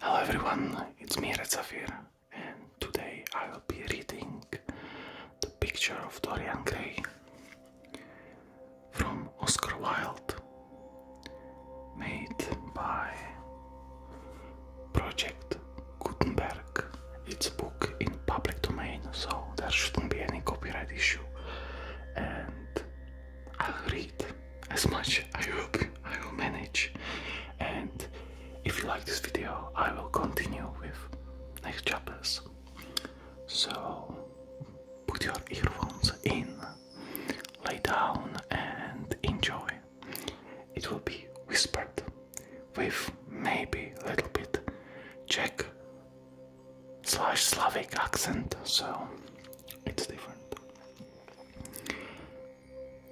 Hello everyone, it's me Red and today I will be reading the picture of Dorian Gray from Oscar Wilde, made by Project Gutenberg. It's a book in public domain, so there shouldn't be any copyright issue, and I'll read as much I hope I will manage and if you like this video I will continue with next chapters so put your earphones in lay down and enjoy it will be whispered with maybe a little bit Czech slash Slavic accent so it's different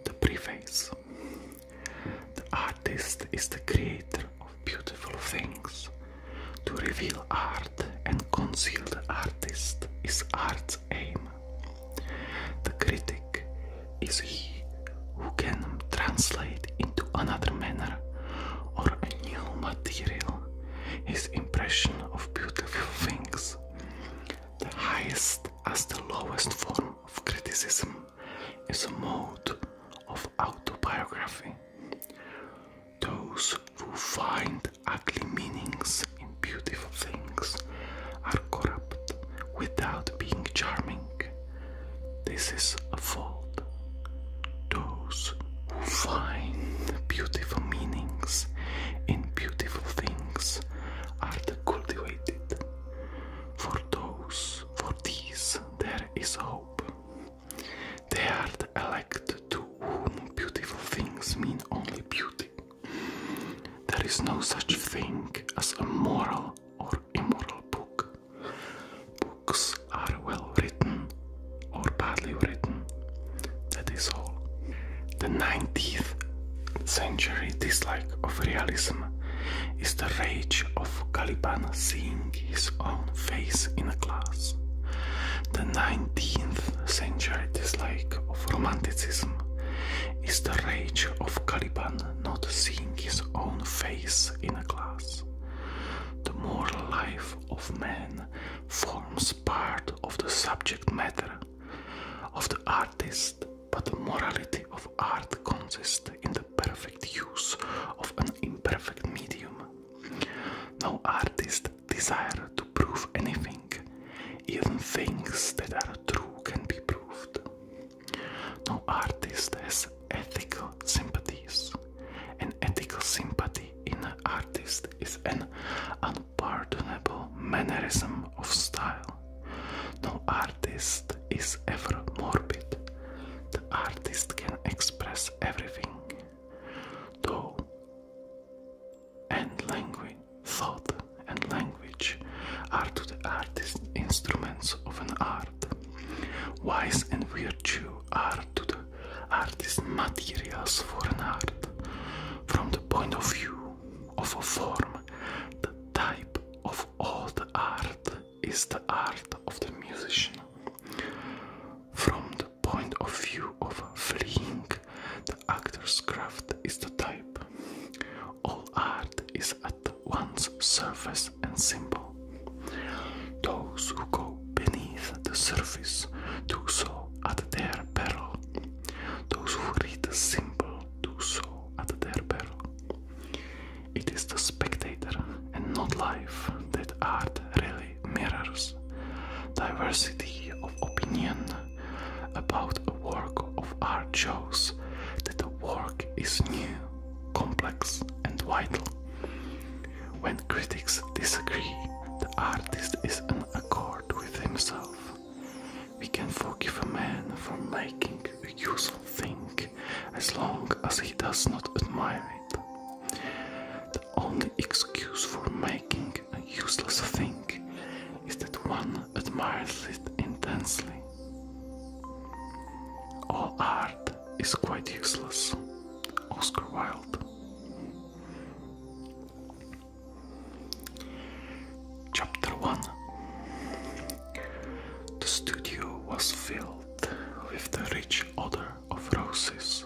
the preface. The artist is the creator of beautiful things. To reveal art and conceal the artist is art's aim. The critic is he who can translate into another manner or a new material his impression of beautiful things. The highest as the lowest form of criticism is a mode of autobiography. Those who find ugly meanings in beautiful things are corrupt without being charming. This is a fault. Those who find beautiful meanings in beautiful things art cultivated. For those, for these, there is hope. They are the elect to whom beautiful things mean only beauty. There is no such thing as a moral or immoral book. Books are well written or badly written that is all. The 19th century dislike of realism is the rage of Caliban seeing his own face in a glass. The 19th century dislike of romanticism is the rage of Caliban not seeing his own face in a glass. The moral life of man forms part of the subject matter of the artist, but the morality of art consists in the perfect use of an imperfect medium. No artist desires to prove anything, even things that are true can be proved. No artist has ethical sympathies. and ethical sympathy in an artist is an Pardonable mannerism of style. No artist is ever morbid. The artist can express everything. Though and language, thought and language are to the artist instruments of an art. Wise and virtue are to the artist materials for an art. From the point of view of a form, the type of all the art is the art of the musician. From the point of view of fleeing, the actor's craft is the type. All art is at once surface and symbol. Those who go beneath the surface do so at their peril. Those who read the symbol do so at their peril. It is the spectator and not life that art really mirrors. Diversity of opinion about a work of art shows that the work is new, complex, and vital. When critics disagree, the artist is in accord with himself. We can forgive a man for making a useful thing as long as he does not admire it. The only excuse for making a useless thing is that one admires it intensely. All art is quite useless. Oscar Wilde. Chapter 1 The studio was filled with the rich odor of roses,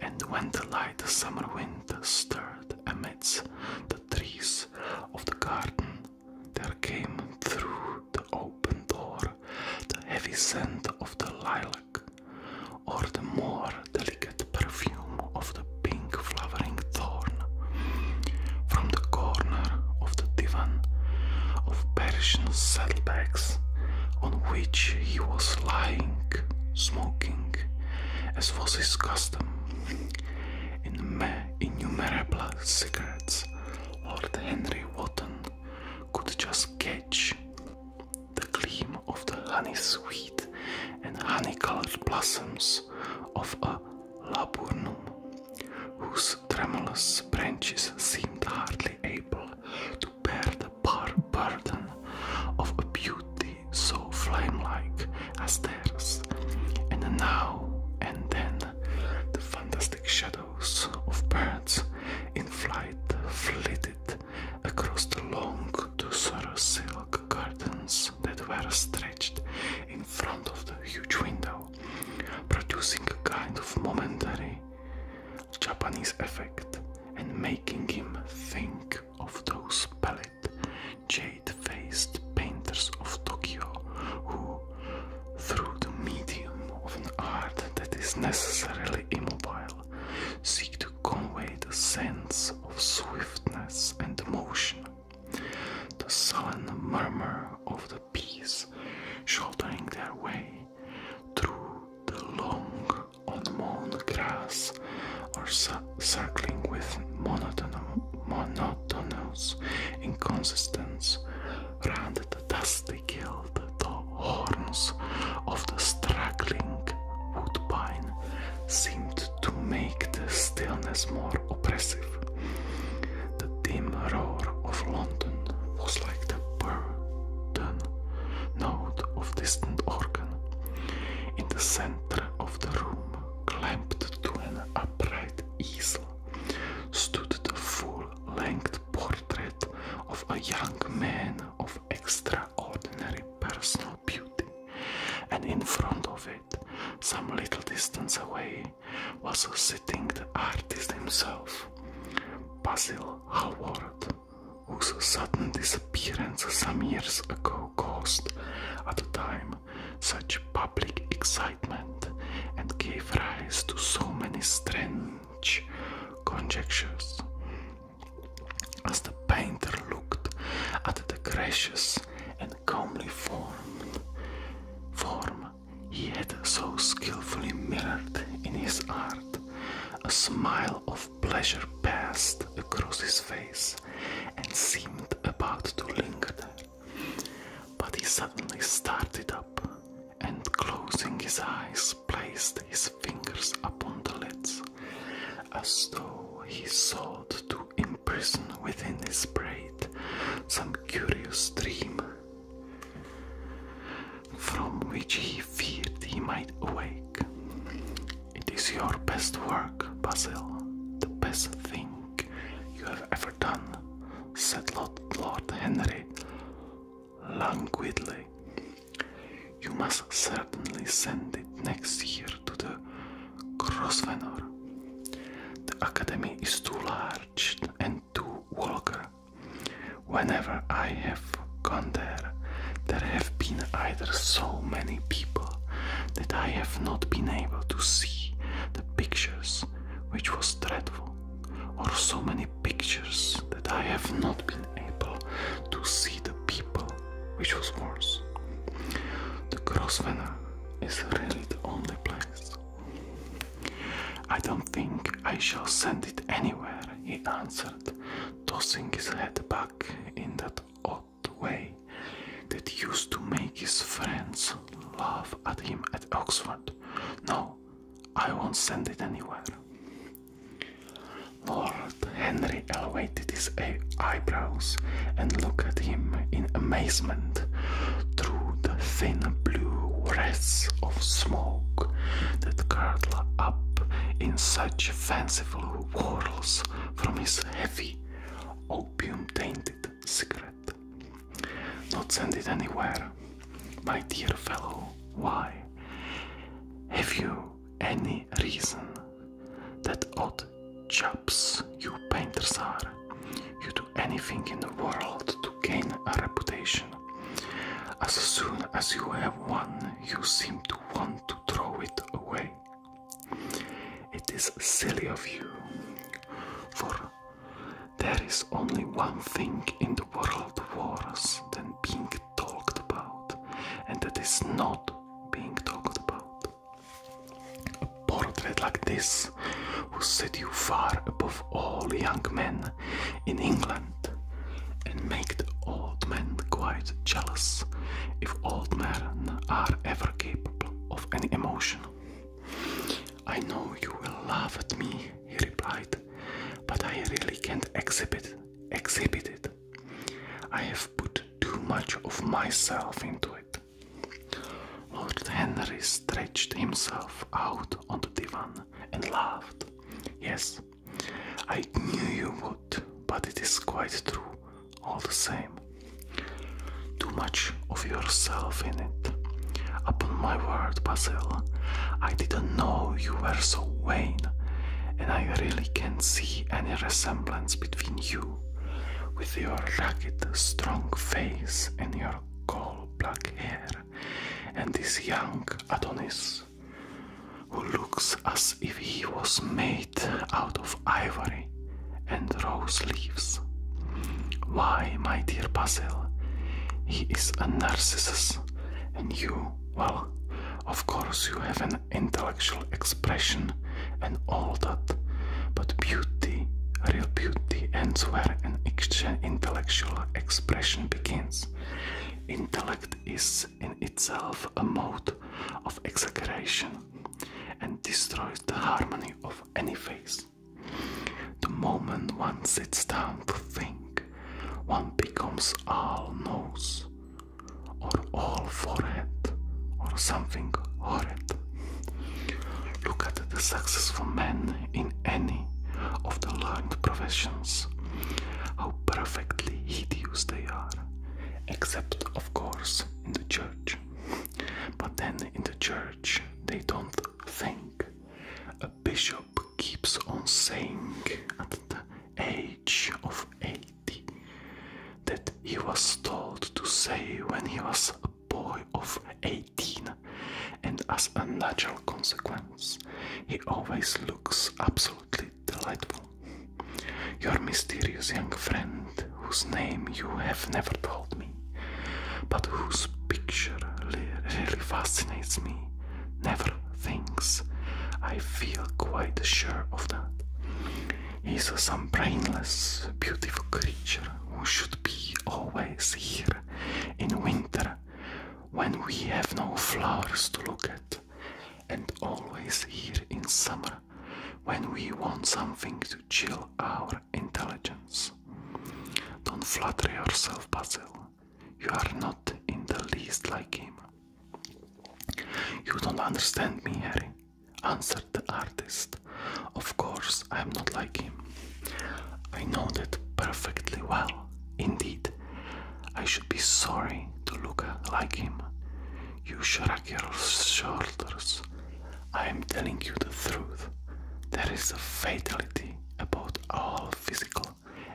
and when the light summer wind stirred amidst the trees of the garden, there came through the open door the heavy scent of the lilac, or the more delicate perfume of the pink flowering thorn from the corner of the divan of Persian saddlebags on which he was lying, smoking, as was his custom, innumerable cigarettes. Lord Henry Wotton could just catch the gleam of the honey sweet and honey colored blossoms of a laburnum, whose tremulous branches seemed hardly able to bear the burden of a beauty so flame-like as theirs, and now and then the fantastic shadows of birds in flight flitted across the long look to silk curtains that were stretched in front of the huge window, producing a kind of momentary Japanese effect and making him think of those pallid, jade faced painters of Tokyo who, through the medium of an art that is necessarily immobile, seek to convey the sense of swiftness and motion the sullen murmur of the bees shouldering their way through the long unmown grass or circling with monotonous, monotonous inconsistence round the dusty gilt the horns of the struggling woodbine seemed to make the stillness more oppressive. The dim roar of London was like the burden note of distant organ. In the center of the room, clamped to an upright easel, stood the full-length portrait of a young man of extraordinary person beauty, and in front of it, some little distance away, was sitting the artist himself, Basil Howard, whose sudden disappearance some years ago caused, at the time, such public excitement and gave rise to so many strange conjectures. As the painter looked at the gracious and comely form, form he had so skillfully mirrored in his art, a smile of pleasure passed across his face and seemed about to linger But he suddenly started up and, closing his eyes, placed his fingers upon the lids as though he sought to imprison within his brain, some curious dream from which he feared he might awake. It is your best work, Basil, the best thing you have ever done, said Lord, Lord Henry languidly. You must certainly send it next year to the Grosvenor. The academy is too large and too vulgar. Whenever I have gone there, there have been either so many people that I have not been able to see the pictures, which was dreadful, or so many pictures that I have not been able to see the people, which was worse. The Grosvenor is really the only place. I don't think I shall send it anywhere, he answered, tossing his head back in that odd way that used to make his friends laugh at him at Oxford. No, I won't send it anywhere. Lord Henry Elway waited his eyebrows and look at him in amazement through the thin blue wreaths of smoke that curled up in such fanciful whirls from his heavy, opium-tainted cigarette. Not send it anywhere, my dear fellow. Why? Have you any reason that odd chaps you painters are. You do anything in the world to gain a reputation. As soon as you have one, you seem to want to throw it away. It is silly of you, for there is only one thing in the world worse than being talked about, and that is not being talked about. A portrait like this will set you far above all young men in England and make the old men quite jealous if old men are ever capable of any emotion. I know you will laugh at me, he replied, but I really can't exhibit exhibit it. I have put too much of myself into it. Lord Henry stretched himself out on the divan and laughed. Yes, I knew you would, but it is quite true all the same. Too much of yourself in it. Upon my word, Basil, I didn't know you were so vain, and I really can't see any resemblance between you with your rugged, strong face and your coal black hair, and this young Adonis who looks as if he was made out of ivory and rose leaves. Why, my dear Basil, he is a narcissus, and you, well, of course, you have an intellectual expression and all that. But beauty, real beauty, ends where an intellectual expression begins. Intellect is in itself a mode of exaggeration and destroys the harmony of any face. The moment one sits down to think, one becomes all nose all for it, or something it. Look at the successful men in any of the learned professions, how perfectly hideous they are, except, of course, in the church. But then in the church, they don't think. A bishop keeps on saying at the age of 80 that he was told to say when he was a boy of 18, and as a natural consequence, he always looks absolutely delightful. Your mysterious young friend, whose name you have never told me, but whose picture really fascinates me, never thinks. I feel quite sure of that. He's some brainless, beautiful creature who should be always here in winter when we have no flowers to look at, and always here in summer when we want something to chill our intelligence. Don't flatter yourself, Basil. You are not in the least like him. You don't understand me, Harry answered the artist. Of course, I am not like him. I know that perfectly well. Indeed, I should be sorry to look like him. You shrug your shoulders. I am telling you the truth. There is a fatality about all physical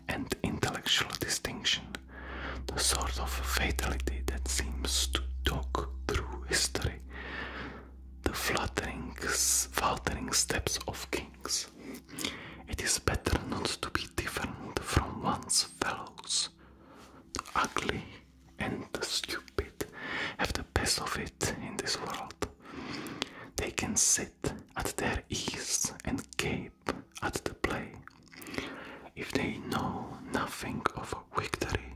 and intellectual distinction, the sort of fatality that seems to talk through history the fluttering, faltering steps of kings. It is better not to be different from one's fellows. The ugly and the stupid have the best of it in this world. They can sit at their ease and gape at the play. If they know nothing of victory,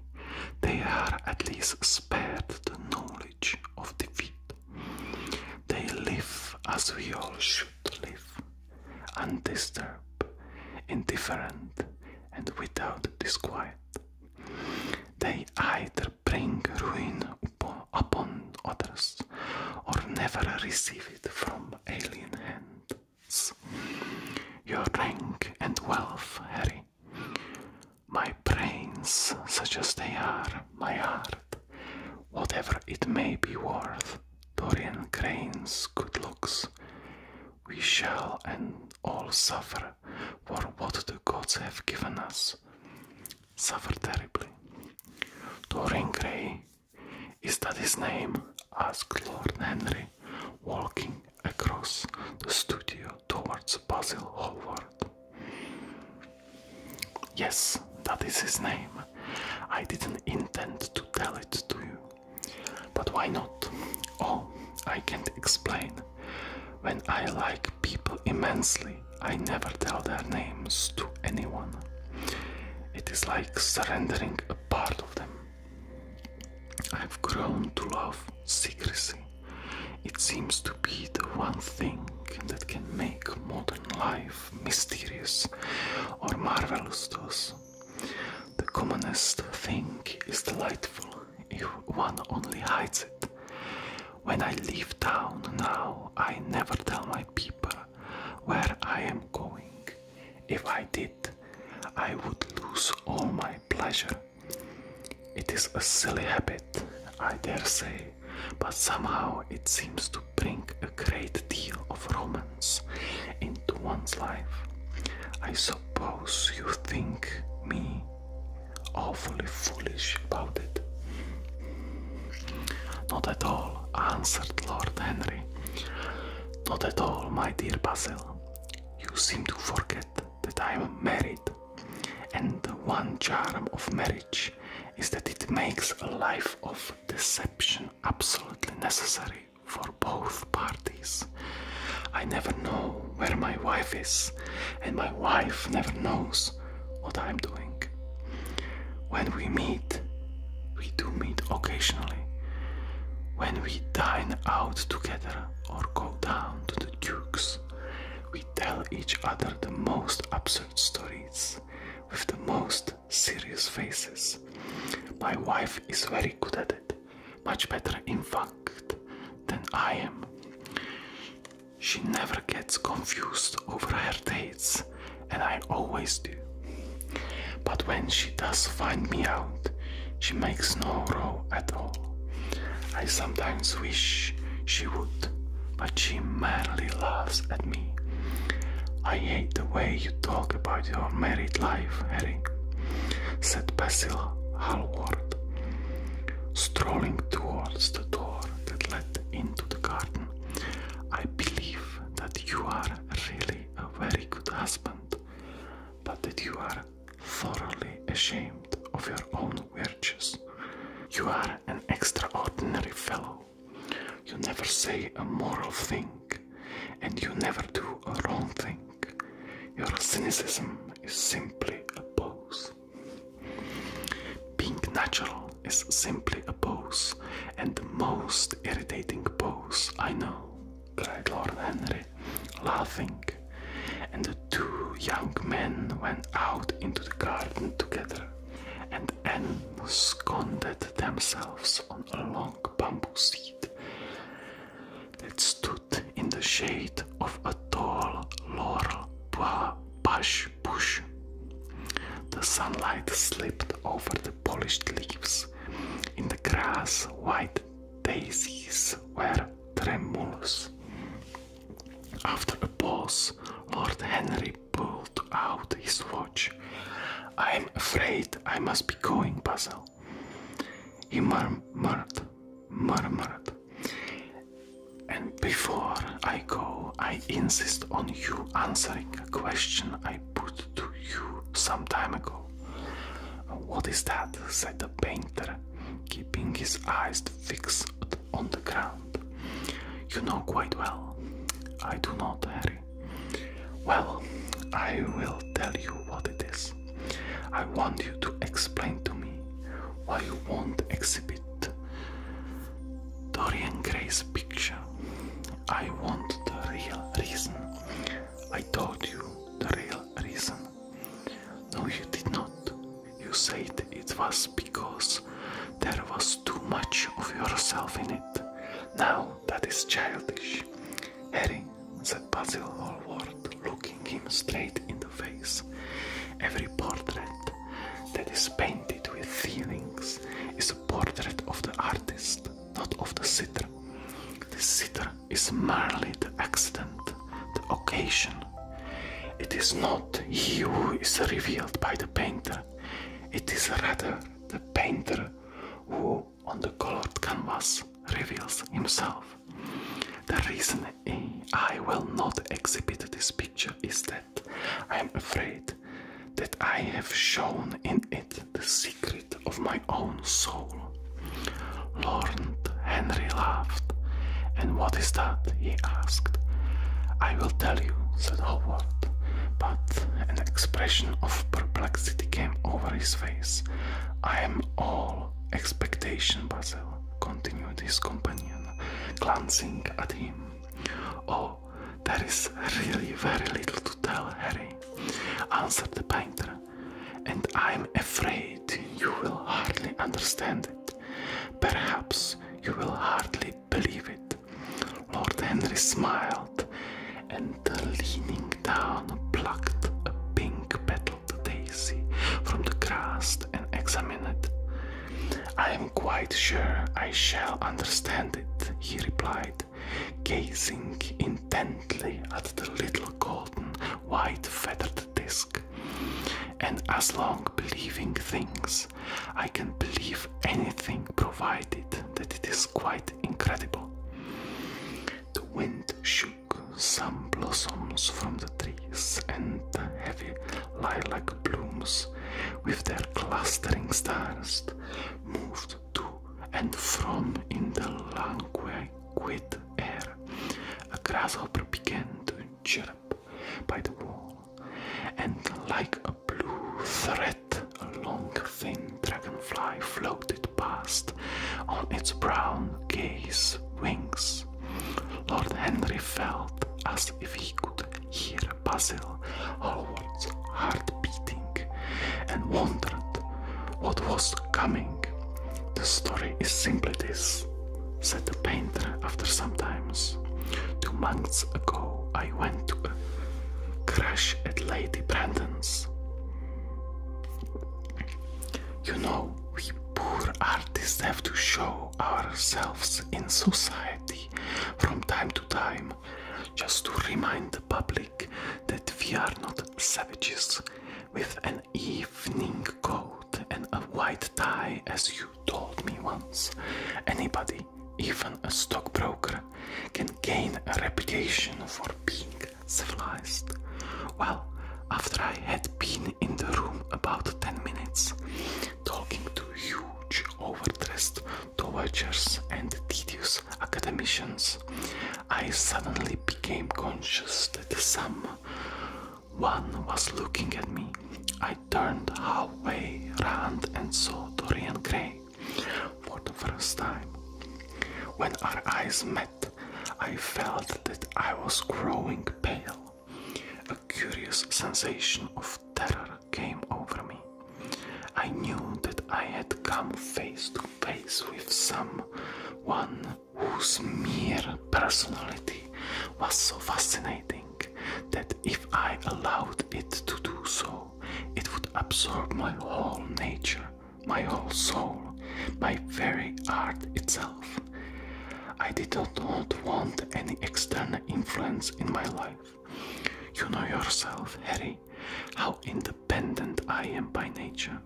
they are at least spared the knowledge of defeat. They live as we all should live, undisturbed, indifferent, and without disquiet. They either bring ruin upon, upon others or never receive it from alien hands. Your rank and wealth, Harry, my brains, such as they are, my heart, whatever it may be worth, Dorian Gray's good looks, we shall and all suffer for what the gods have given us. Suffer terribly. Dorian Gray, is that his name? asked Lord Henry, walking across the studio towards Basil Howard. Yes, that is his name. I didn't intend to tell it to you. But why not? Oh, I can't explain. When I like people immensely, I never tell their names to anyone. It is like surrendering a part of them. I've grown to love secrecy. It seems to be the one thing that can make modern life mysterious or marvelous to us. The commonest thing is delightful if one only hides it. When I leave town now, I never tell my people where I am going. If I did, I would lose all my pleasure it is a silly habit, I dare say, but somehow it seems to bring a great deal of romance into one's life. I suppose you think me awfully foolish about it. Not at all, answered Lord Henry. Not at all, my dear Basil. You seem to forget that I am married, and one charm of marriage is that it makes a life of deception absolutely necessary for both parties. I never know where my wife is, and my wife never knows what I'm doing. When we meet, we do meet occasionally. When we dine out together or go down to the dukes. We tell each other the most absurd stories with the most serious faces. My wife is very good at it, much better, in fact, than I am. She never gets confused over her dates, and I always do. But when she does find me out, she makes no row at all. I sometimes wish she would, but she merely laughs at me. I hate the way you talk about your married life, Harry, said Basil Hallward, strolling towards the door that led into the garden. I believe that you are really a very good husband, but that you are thoroughly ashamed of your own virtues. You are an extraordinary fellow. You never say a moral thing, and you never do a wrong thing. Your cynicism is simply a pose. Being natural is simply a pose, and the most irritating pose I know cried Lord Henry, laughing, and the two young men went out into the garden together and ensconced themselves on a long bamboo seat that stood in the shade of a tall laurel bush. bush. The sunlight slipped over the polished leaves. In the grass, white daisies were Terra After a pause, Lord Henry pulled out his watch. I am afraid I must be going, Basil. He murmured, murmured. And before I go, I insist on you answering a question I put to you some time ago. What is that? said the painter, keeping his eyes fixed on the ground. You know quite well. I do not, Harry. Well, I will tell you what it is. I want you to explain to me why you won't exhibit Dorian Gray's picture. I want the real reason. I told you the real reason no, you did not. You said it was because there was too much of yourself in it. Now that is childish. Harry, said Basil Hallward, looking him straight in the face, every portrait that is painted with feelings is a portrait of the artist, not of the sitter. The sitter is merely the accident, the occasion. It is not he who is revealed by the painter, it is rather the painter who, on the colored canvas, reveals himself. The reason I will not exhibit this picture is that I am afraid that I have shown in it the secret of my own soul. Lord Henry laughed. And what is that? he asked. I will tell you, said Howard, but an expression of perplexity came over his face. I am all expectation, Basil, continued his companion, glancing at him. Oh, there is really very little to tell, Harry, answered the painter and I'm afraid you will hardly understand it. Perhaps you will hardly believe it. Lord Henry smiled and, leaning down, plucked a pink petaled daisy from the grass and examined it. I am quite sure I shall understand it, he replied, gazing intently at the little golden white feathered disc. And as long believing things, I can believe anything provided that it is quite incredible. The wind shook some blossoms from the trees, and the heavy lilac blooms, with their clustering stars, moved to and from in the languid with air. A grasshopper began to chirp by the wall, and like a blue thread, a long, thin dragonfly floated past on its brown, gase wings. Lord Henry felt as if he could hear Basil Hallward's heart beating and wondered what was coming. The story is simply this, said the painter after some time. Two months ago I went to a crash at Lady Brandon's. You know, we poor artists have to show ourselves in society from time to time, just to remind the public that we are not savages with an evening coat and a white tie, as you told me once. Anybody, even a stockbroker, can gain a reputation for being civilized. Well, after I had been in the room about ten minutes, talking to huge, overdressed dowagers and tedious academicians, I suddenly became conscious that some one was looking at me. I turned halfway round and saw Dorian Gray for the first time. When our eyes met, I felt that I was growing pale. A curious sensation of terror came over me. I knew that I had come face to face with someone whose mere personality was so fascinating that if I allowed it to do so, it would absorb my whole nature, my whole soul, my very art itself. I did not want any external influence in my life. You know yourself, Harry, how independent I am by nature.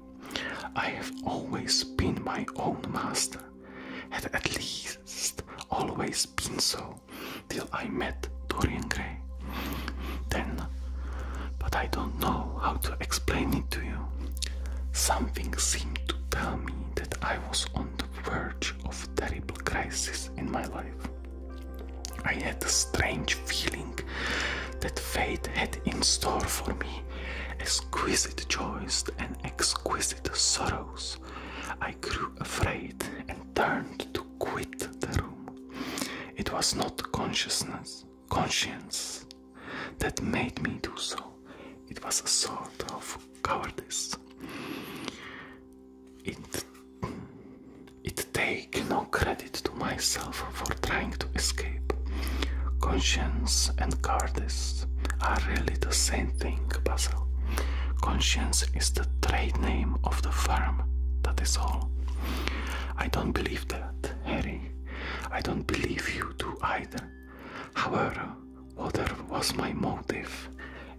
I have always been my own master, had at least always been so, till I met Dorian Gray. Then, but I don't know how to explain it to you. Something seemed to tell me that I was on the verge of a terrible crisis in my life. I had a strange feeling that fate had in store for me exquisite joys and exquisite sorrows, I grew afraid and turned to quit the room. It was not consciousness, conscience, that made me do so. It was a sort of cowardice. It, it take no credit to myself for trying to escape. Conscience and Cardis are really the same thing, Basil. Conscience is the trade name of the firm, that is all. I don't believe that, Harry. I don't believe you do either. However, whatever was my motive,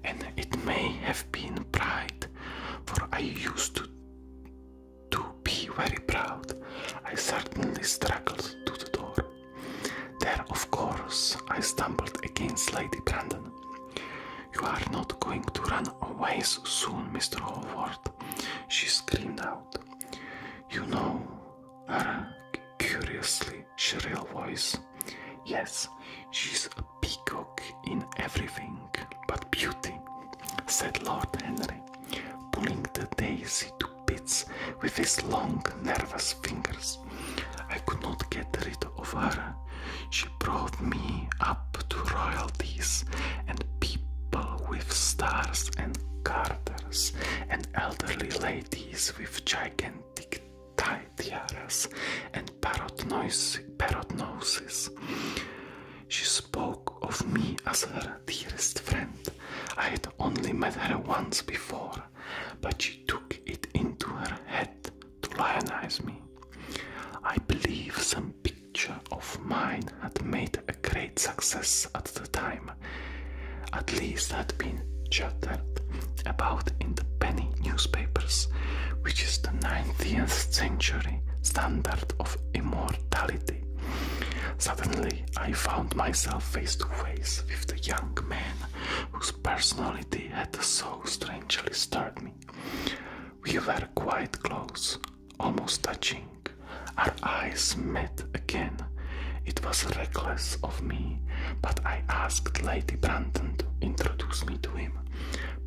and it may have been pride, for I used to do be very proud. I certainly struggled to the door. There, of course, I stumbled against Lady Brandon. You are not going to run away so soon, Mr. Howard, she screamed out. You know curiously shrill voice. Yes, she's a peacock in everything but beauty, said Lord Henry, pulling the daisy to bits with his long, nervous fingers. I could not get rid of her. She brought me up to royalties and people with stars and garters and elderly ladies with gigantic tie tiaras and parrot noses. She spoke of me as her dearest friend. I had only met her once before, but she took it into her head to lionize me. I believe some picture of mine had made a great success at the time, at least had been chattered about in the penny newspapers, which is the 19th century standard of immortality. Suddenly, I found myself face to face with the young man whose personality had so strangely stirred me. We were quite close, almost touching. Our eyes met again. It was reckless of me, but I asked Lady Brandon to introduce me to him.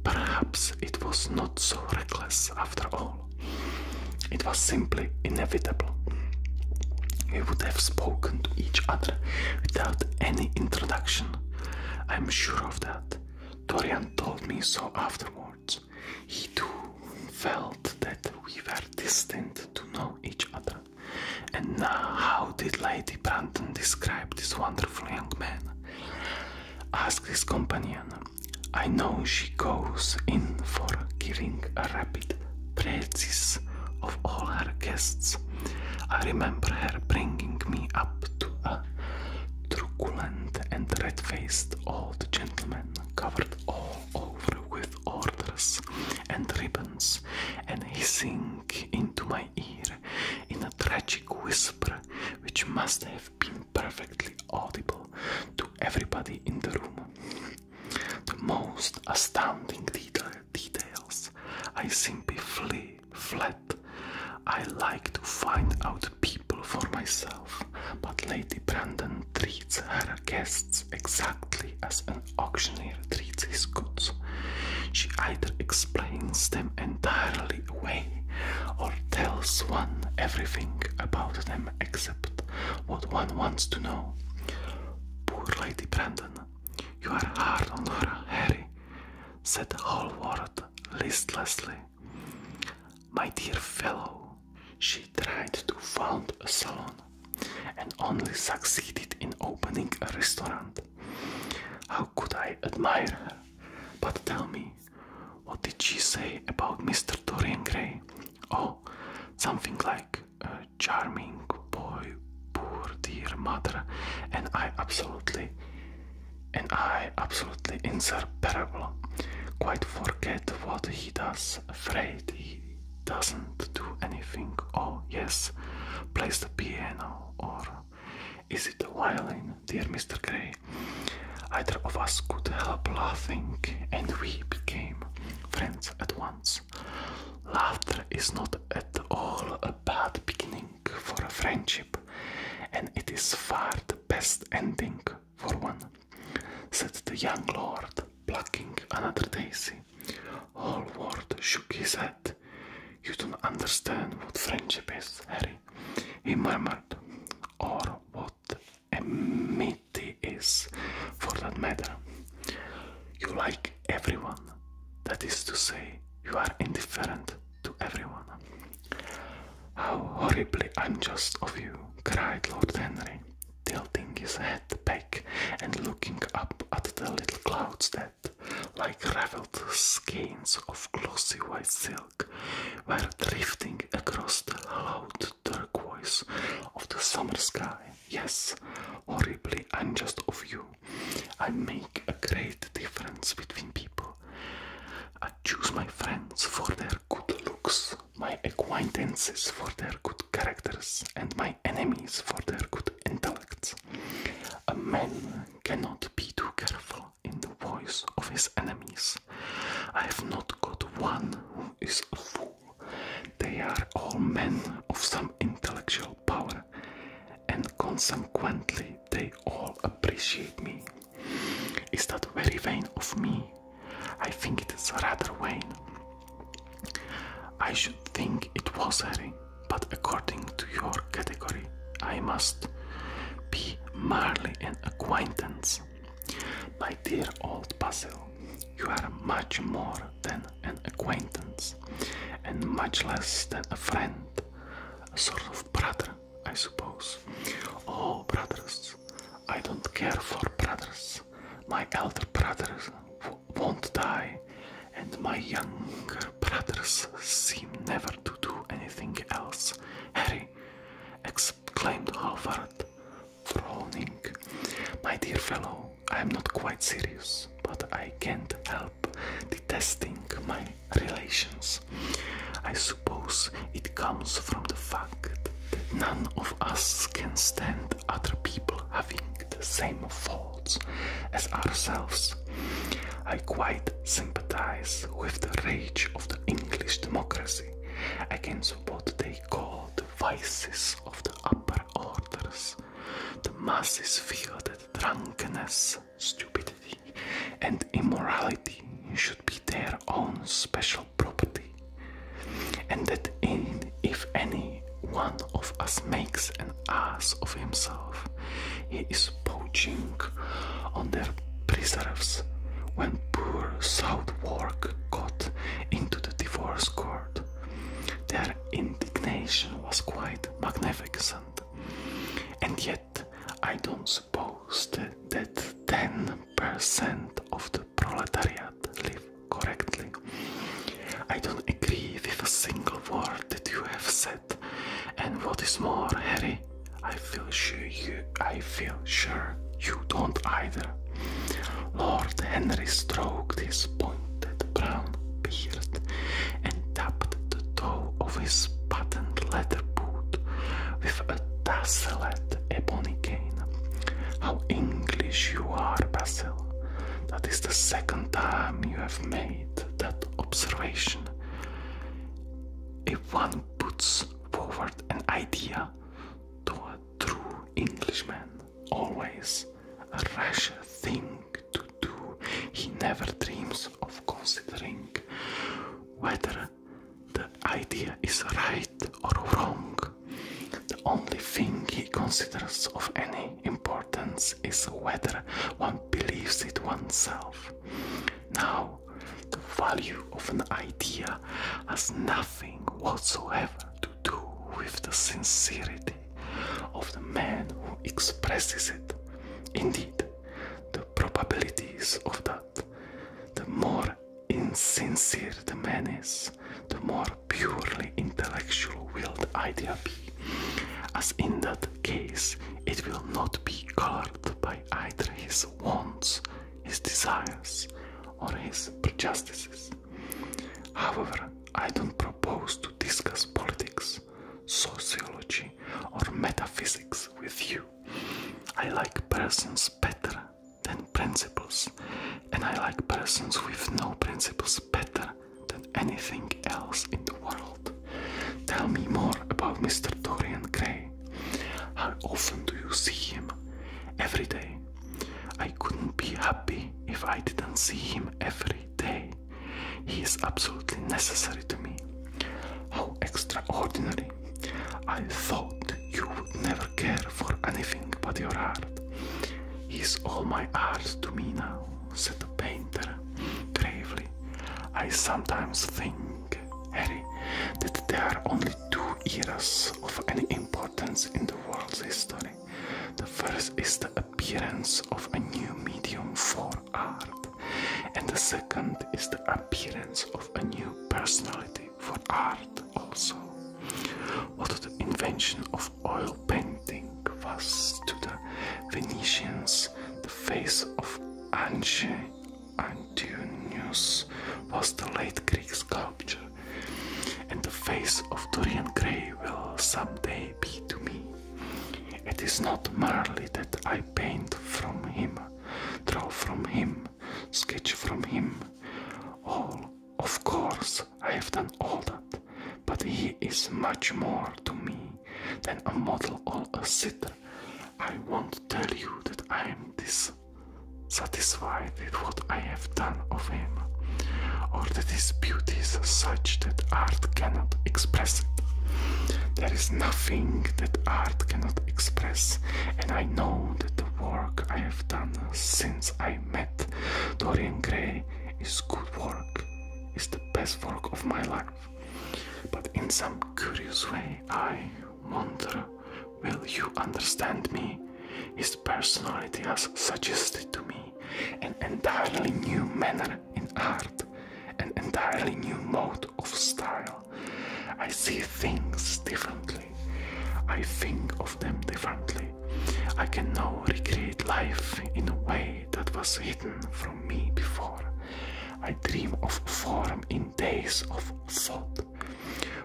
Perhaps it was not so reckless after all. It was simply inevitable. We would have spoken to each other without any introduction. I am sure of that. Dorian told me so afterwards. He too felt that we were destined to know each other. And now, how did Lady Brandon describe this wonderful young man? asked his companion. I know she goes in for killing a rap rapid of all her guests. I remember her bringing me up to a truculent and red faced old gentleman covered all over with orders and ribbons and hissing into my ear in a tragic whisper which must have been perfectly audible to everybody in the room. The most astounding details. I simply flee flat. I like to find out people for myself, but Lady Brandon treats her guests exactly as an auctioneer treats his goods. She either explains them entirely away or tells one everything about them except what one wants to know. Poor Lady Brandon, you are hard on her, Harry, said Hallward listlessly. My dear fellow, she tried to found a salon and only succeeded in opening a restaurant. How could I admire her? But tell me, what did she say about Mr. Dorian Gray? Oh, something like a charming boy, poor dear mother, and I absolutely, and I absolutely inseparable. Quite forget what he does, afraid he doesn't do anything. Oh, yes, plays the piano, or is it the violin, dear Mr. Gray? Either of us could help laughing, and we became friends at once. Laughter is not at all a bad beginning for a friendship, and it is far the best ending for one, said the young lord, plucking another daisy. Hallward shook his head. You don't understand what friendship is, Harry, he murmured, or what Amity is, for that matter. You like everyone, that is to say, you are indifferent to everyone. How horribly unjust of you, cried Lord Henry, tilting his head back and looking up at the little clouds that, like raveled skeins of glossy white silk, were drifting across the loud turquoise of the summer sky. Yes, horribly unjust of you. I make a great difference between people. I choose my friends for their good looks, my acquaintances for their good characters, and my enemies for their good intellects. A man cannot be too careful in the voice of his enemies. I have not got one who is a fool. They are all men of some intellectual power, and consequently, they all appreciate me. Is that very vain of me? I think it is rather vain. I should think it was, very. but according to your category, I must be merely an acquaintance. My dear old Basil, you are much more than an acquaintance, and much less than a friend, a sort of brother, I suppose. Oh, brothers, I don't care for brothers. My elder brothers won't die, and my younger brothers seem never to do anything else. Harry, ex exclaimed Halvard, frowning. My dear fellow, I am not quite serious, but I can't help detesting my relations. I suppose it comes from the fact that none of us can stand other people having the same faults as ourselves. I quite sympathize with the rage of the English democracy against what they the vices of the upper orders. The masses feel that drunkenness, stupidity, and immorality should be their own special property, and that if any one of us makes an ass of himself, he is poaching on their preserves when poor Southwark got into the divorce court. Their indignation was quite magnificent, and yet I don't suppose that, that 10% of the proletariat live correctly. I don't agree with a single word that you have said, and what is more, Harry, I feel sure you, I feel sure you don't either. Lord Henry stroked his pointed brown beard and tapped the toe of his patent leather boot with a tasseled ebony cane. How English you are, Basil. That is the second time you have made that observation. If one puts forward an idea to a true Englishman, always a rash thing to do. He never dreams of considering whether the idea is right or wrong. The only thing he considers of any importance is whether one believes it oneself. Now, the value of an idea has nothing whatsoever to do with the sincerity of the man who expresses it. Indeed, the probabilities of that, the more insincere the man is, the more purely intellectual will the idea be, as in that case it will not be colored by either his wants, his desires, or his prejudices. However, I don't propose to discuss politics, sociology, or metaphysics with you. I like persons better than principles, and I like persons with no principles better than anything else in the world. Tell me more about Mr. Dorian Gray. How often do you see him? Every day, I couldn't be happy if I didn't see him every day. He is absolutely necessary to me. How extraordinary! I thought you would never care for anything but your art. He is all my art to me now, said the painter gravely. I sometimes think, Harry, that there are only two eras of any importance in the world's history. The first is the appearance of a new medium for art, and the second is the appearance of a new personality for art also. What the invention of oil painting was to the Venetians, the face of Ange Antonius was the late Greek sculpture and the face of Dorian Gray will someday be to me. It is not merely that I paint from him, draw from him, sketch from him. All, of course, I have done all that, but he is much more to me than a model or a sitter. I won't tell you that I am this satisfied with what I have done of him, or that his beauty is such that art cannot express it. There is nothing that art cannot express, and I know that the work I have done since I met Dorian Gray is good work, is the best work of my life. But in some curious way, I wonder Will you understand me? His personality has suggested to me an entirely new manner in art, an entirely new mode of style. I see things differently. I think of them differently. I can now recreate life in a way that was hidden from me before. I dream of form in days of thought.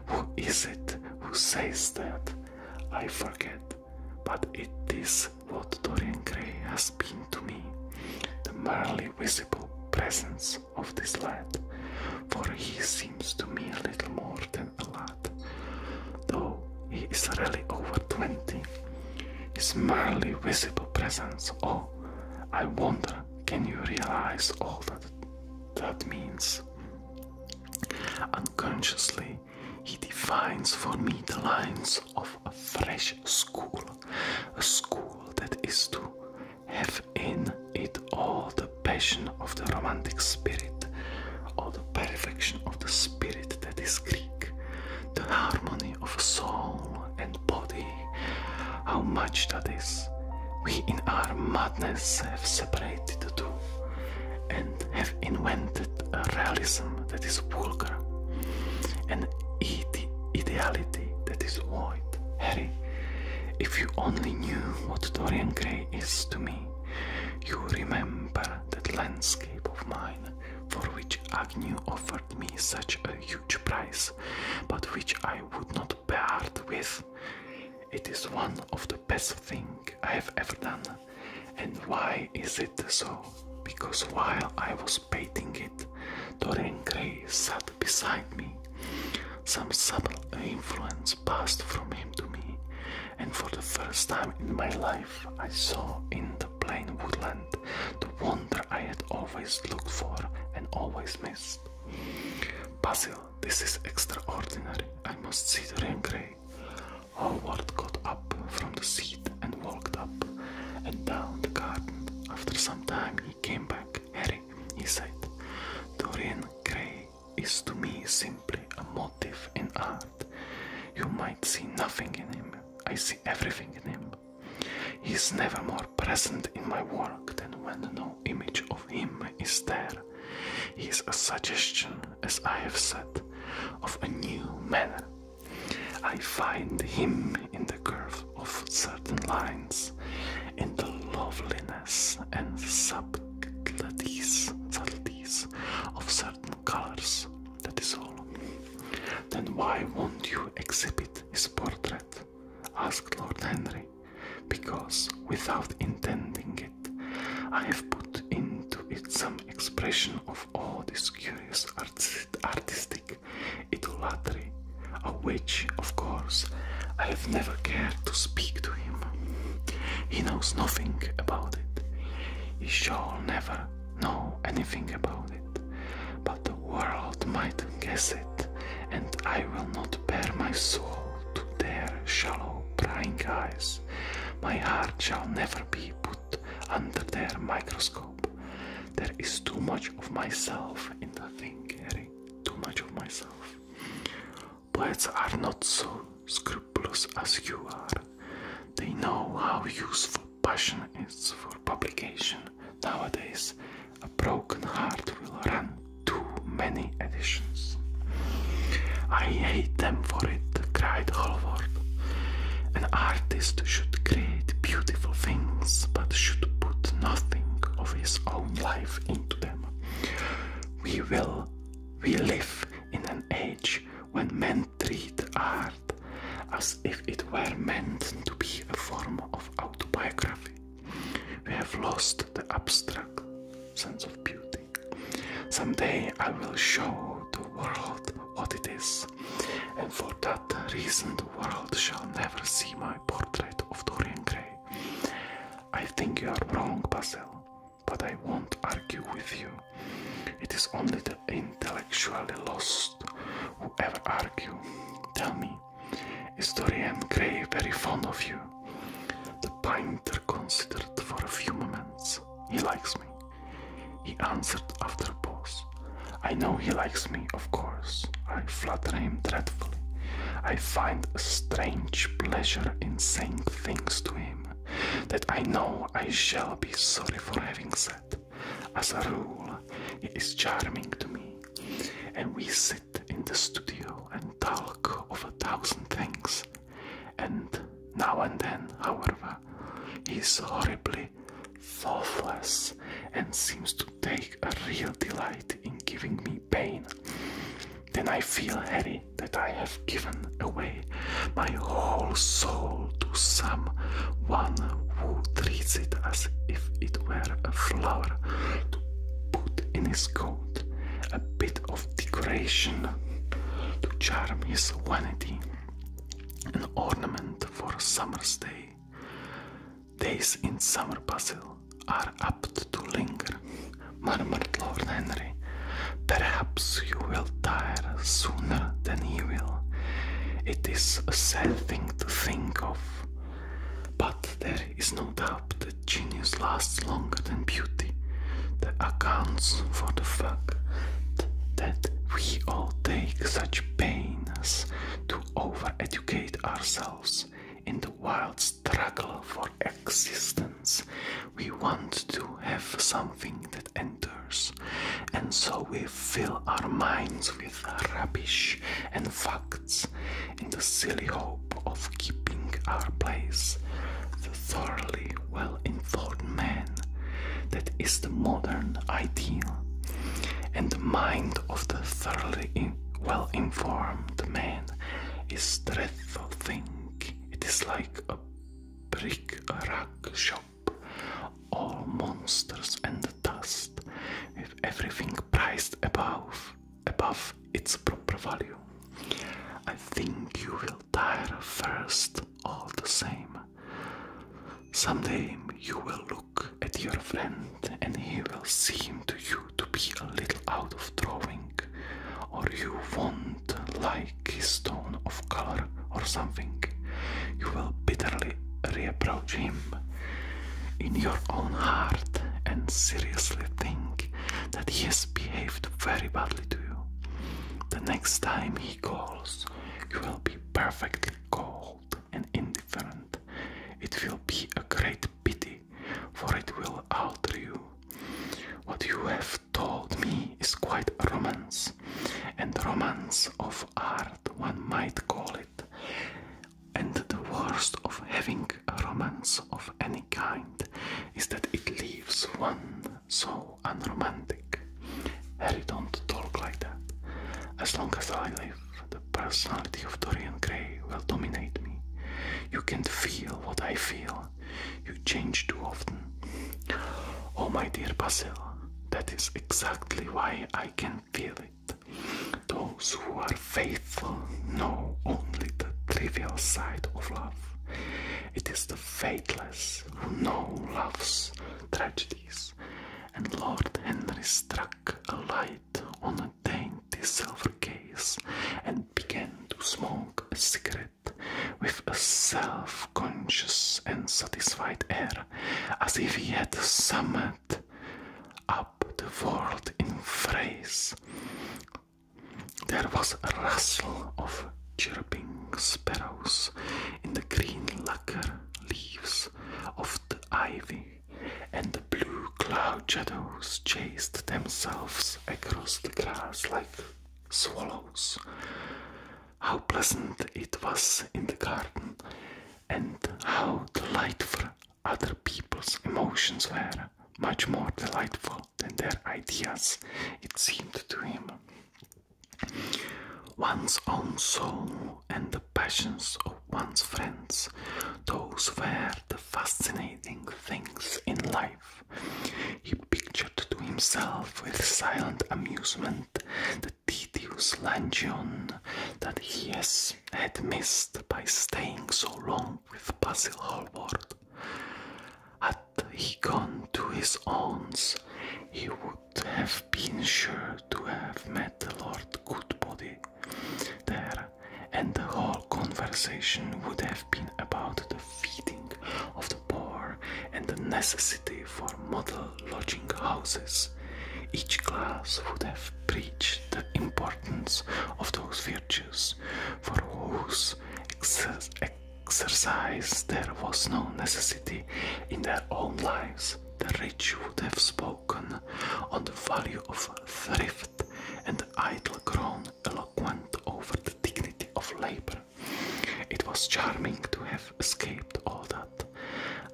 Who is it who says that? I forget, but it is what Dorian Gray has been to me the merely visible presence of this lad, for he seems to me a little more than a lad, though he is really over twenty. His merely visible presence, oh, I wonder, can you realize all that that means? Unconsciously, he defines for me the lines of a fresh school, a school that is to have in it all the passion of the romantic spirit, all the perfection of the spirit that is Greek, the harmony of soul and body. How much that is! We in our have separated the two and have invented a realism that is vulgar, and an ideality that is void. Harry, if you only knew what Dorian Gray is to me, you remember that landscape of mine for which Agnew offered me such a huge price, but which I would not part with it is one of the best things I have ever done. And why is it so? Because while I was painting it, Dorian Gray sat beside me. Some subtle influence passed from him to me, and for the first time in my life, I saw in the plain woodland the wonder I had always looked for and always missed. Basil, this is extraordinary. I must see Dorian Gray. Howard got up from the seat and walked up and down the garden. After some time, he came back. Harry, he said, Dorian Gray is to me simply a motive in art. You might see nothing in him, I see everything in him. He is never more present in my work than when no image of him is there. He is a suggestion, as I have said, of a new manner. I find him in the curve of certain lines, in the loveliness and subtleties of certain colors. That is all. Then why won't you exhibit his portrait? asked Lord Henry. Because, without intending it. I have put into it some expression of all this curious artistic idolatry, of which, of course, I have never cared to speak to him. He knows nothing about it. He shall never know anything about it. But the world might guess it, and I will not bare my soul to their shallow prying eyes. My heart shall never be put under their microscope. There is too much of myself in the thing, Harry. Too much of myself. Poets are not so scrupulous as you are. They know how useful passion is for publication. Nowadays, a broken heart will run too many editions. I hate them for it, cried Hallvard. An artist should create beautiful things, but should put nothing of his own life into them. We will, we live in an age when men treat art as if it were meant to be a form of autobiography. We have lost the abstract sense of beauty. Someday I will show the world what it is, and for that reason the world shall never see my portrait of Dorian Gray. I think you are wrong, Basil, but I won't argue with you. It is only the intellectually lost who ever argue. Tell me, is Dorian Gray very fond of you? The painter considered for a few moments. He likes me. He answered after a pause. I know he likes me, of course. I flatter him dreadfully. I find a strange pleasure in saying things to him that I know I shall be sorry for having said. As a rule, he is charming to me, and we sit in the studio and talk of a thousand things and now and then, however, he is horribly thoughtless and seems to take a real delight in giving me pain. Then I feel, Harry, that I have given away my whole soul to some one who treats it as if it were a flower to put in his coat, a bit of decoration to charm his vanity, an ornament for a summer's day. Days in summer bustle are apt to linger, murmured Lord Henry. Perhaps you will tire sooner than he will. It is a sad thing to think of, but there is no doubt." that genius lasts longer than beauty that accounts for the fact that we all take such pains to over-educate ourselves in the wild struggle for existence. We want to have something that enters, and so we fill our minds with rubbish and facts in the silly hope of keeping our place, the thoroughly well-informed man. That is the modern ideal, and the mind of the thoroughly well-informed man is dreadful thing. It is like a brick-a-rack shop, all monsters and dust, with everything priced above above its proper value. I think you will Tired first, all the same. Someday you will look at your friend and he will seem to you to be a little out of drawing, or you won't like his tone of color or something. You will bitterly reproach him in your own heart and seriously think that he is behaved very badly to you. The next time he calls, you will be perfectly cold and indifferent. It will be a great pity, for it will alter you. What you have told me is quite a romance, and romance of art, one might call it. And the worst of having a romance of any Kind is that it leaves one so unromantic. Harry, don't talk like that. As long as I live, the personality of Dorian Gray will dominate me. You can't feel what I feel. You change too often. Oh, my dear Basil, that is exactly why I can feel it. Those who are faithful know only the trivial side of love. It is the faithless who know love's tragedies, and Lord Henry struck a light on a dainty silver case and began to smoke a cigarette with a self conscious and satisfied air, as if he had summed up the world in phrase. There was a rustle of chirping sparrows in the green lacquer leaves of the ivy, and the blue cloud shadows chased themselves across the grass like swallows. How pleasant it was in the garden, and how delightful other people's emotions were much more delightful than their ideas, it seemed to him. One's own soul and the passions of one's friends, those were the fascinating things in life. He pictured to himself with silent amusement the tedious luncheon that he had missed by staying so long with Basil Hallward. At had he gone to his aunt's, he would have been sure to have met Lord Goodbody there, and the whole conversation would have been about the feeding of the poor and the necessity for model lodging houses. Each class would have preached the importance of those virtues for whose ex exercise there was no necessity in their own lives, the rich would have spoken on the value of thrift, and the idle grown eloquent over the dignity of labor. It was charming to have escaped all that,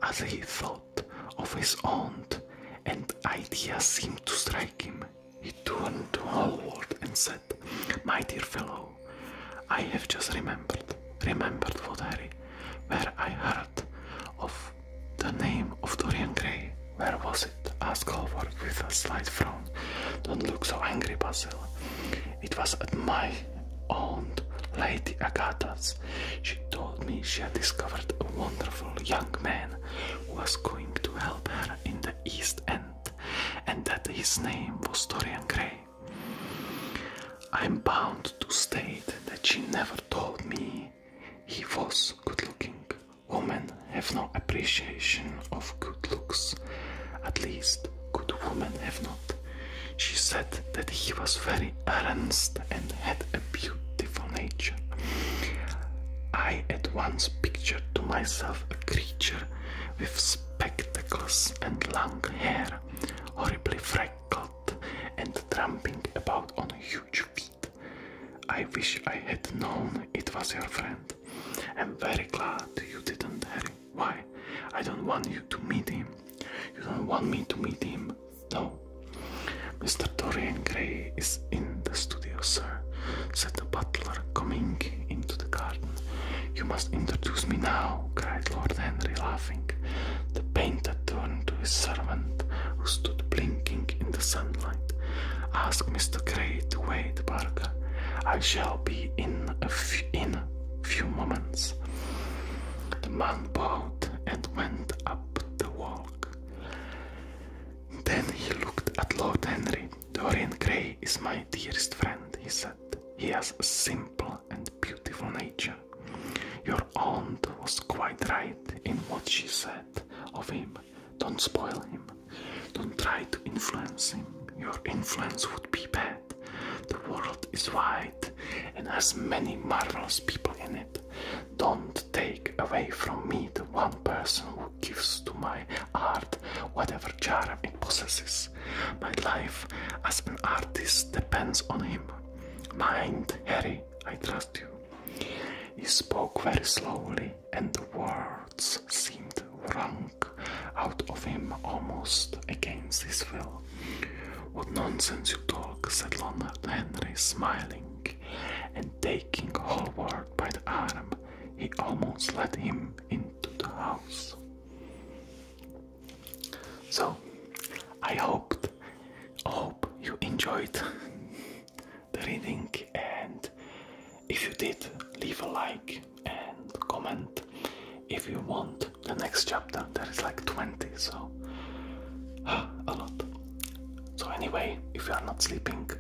as he thought of his aunt, and ideas seemed to strike him he turned to homeward and said, My dear fellow, I have just remembered, remembered, what Harry, where I heard of the name of Dorian Gray. Where was it? asked Hallward with a slight frown. Don't look so angry, Basil. It was at my aunt, Lady Agatha's. She told me she had discovered a wonderful young man who was going to help her in the East End and that his name was Dorian Gray. I'm bound to state that she never told me he was good looking. Women have no appreciation of good looks, at least good women have not. She said that he was very earnest and had a beautiful nature. I at once pictured to myself a creature with spectacles and long hair, horribly freckled and tramping about on huge feet. I wish I had known it was your friend. I'm very glad you didn't, Harry. Why? I don't want you to meet him. You don't want me to meet him, no. Mr. Dorian Gray is in the studio, sir, said the butler, coming into the garden. You must introduce me now, cried Lord Henry, laughing. The painter turned to his servant, who stood blinking in the sunlight. Ask Mr. Gray to wait, Barker. I shall be in a in a few moments. The man bowed and went up the walk. Then he looked at Lord Henry. Dorian Gray is my dearest friend, he said. He has a simple and beautiful nature. Your aunt was quite right in what she said of him. Don't spoil him. Don't try to influence him. Your influence would be bad. The world is wide and has many marvelous people in it. Don't take away from me the one person gives to my art whatever charm it possesses. My life as an artist depends on him. Mind, Harry, I trust you. He spoke very slowly, and the words seemed wrung out of him almost against his will. What nonsense you talk, said Leonard Henry, smiling and taking Hallward by the arm. He almost led him in to the house. So, I hoped, hope you enjoyed the reading, and if you did, leave a like and comment if you want the next chapter. There is like 20, so a lot. So, anyway, if you are not sleeping,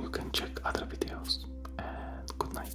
you can check other videos and good night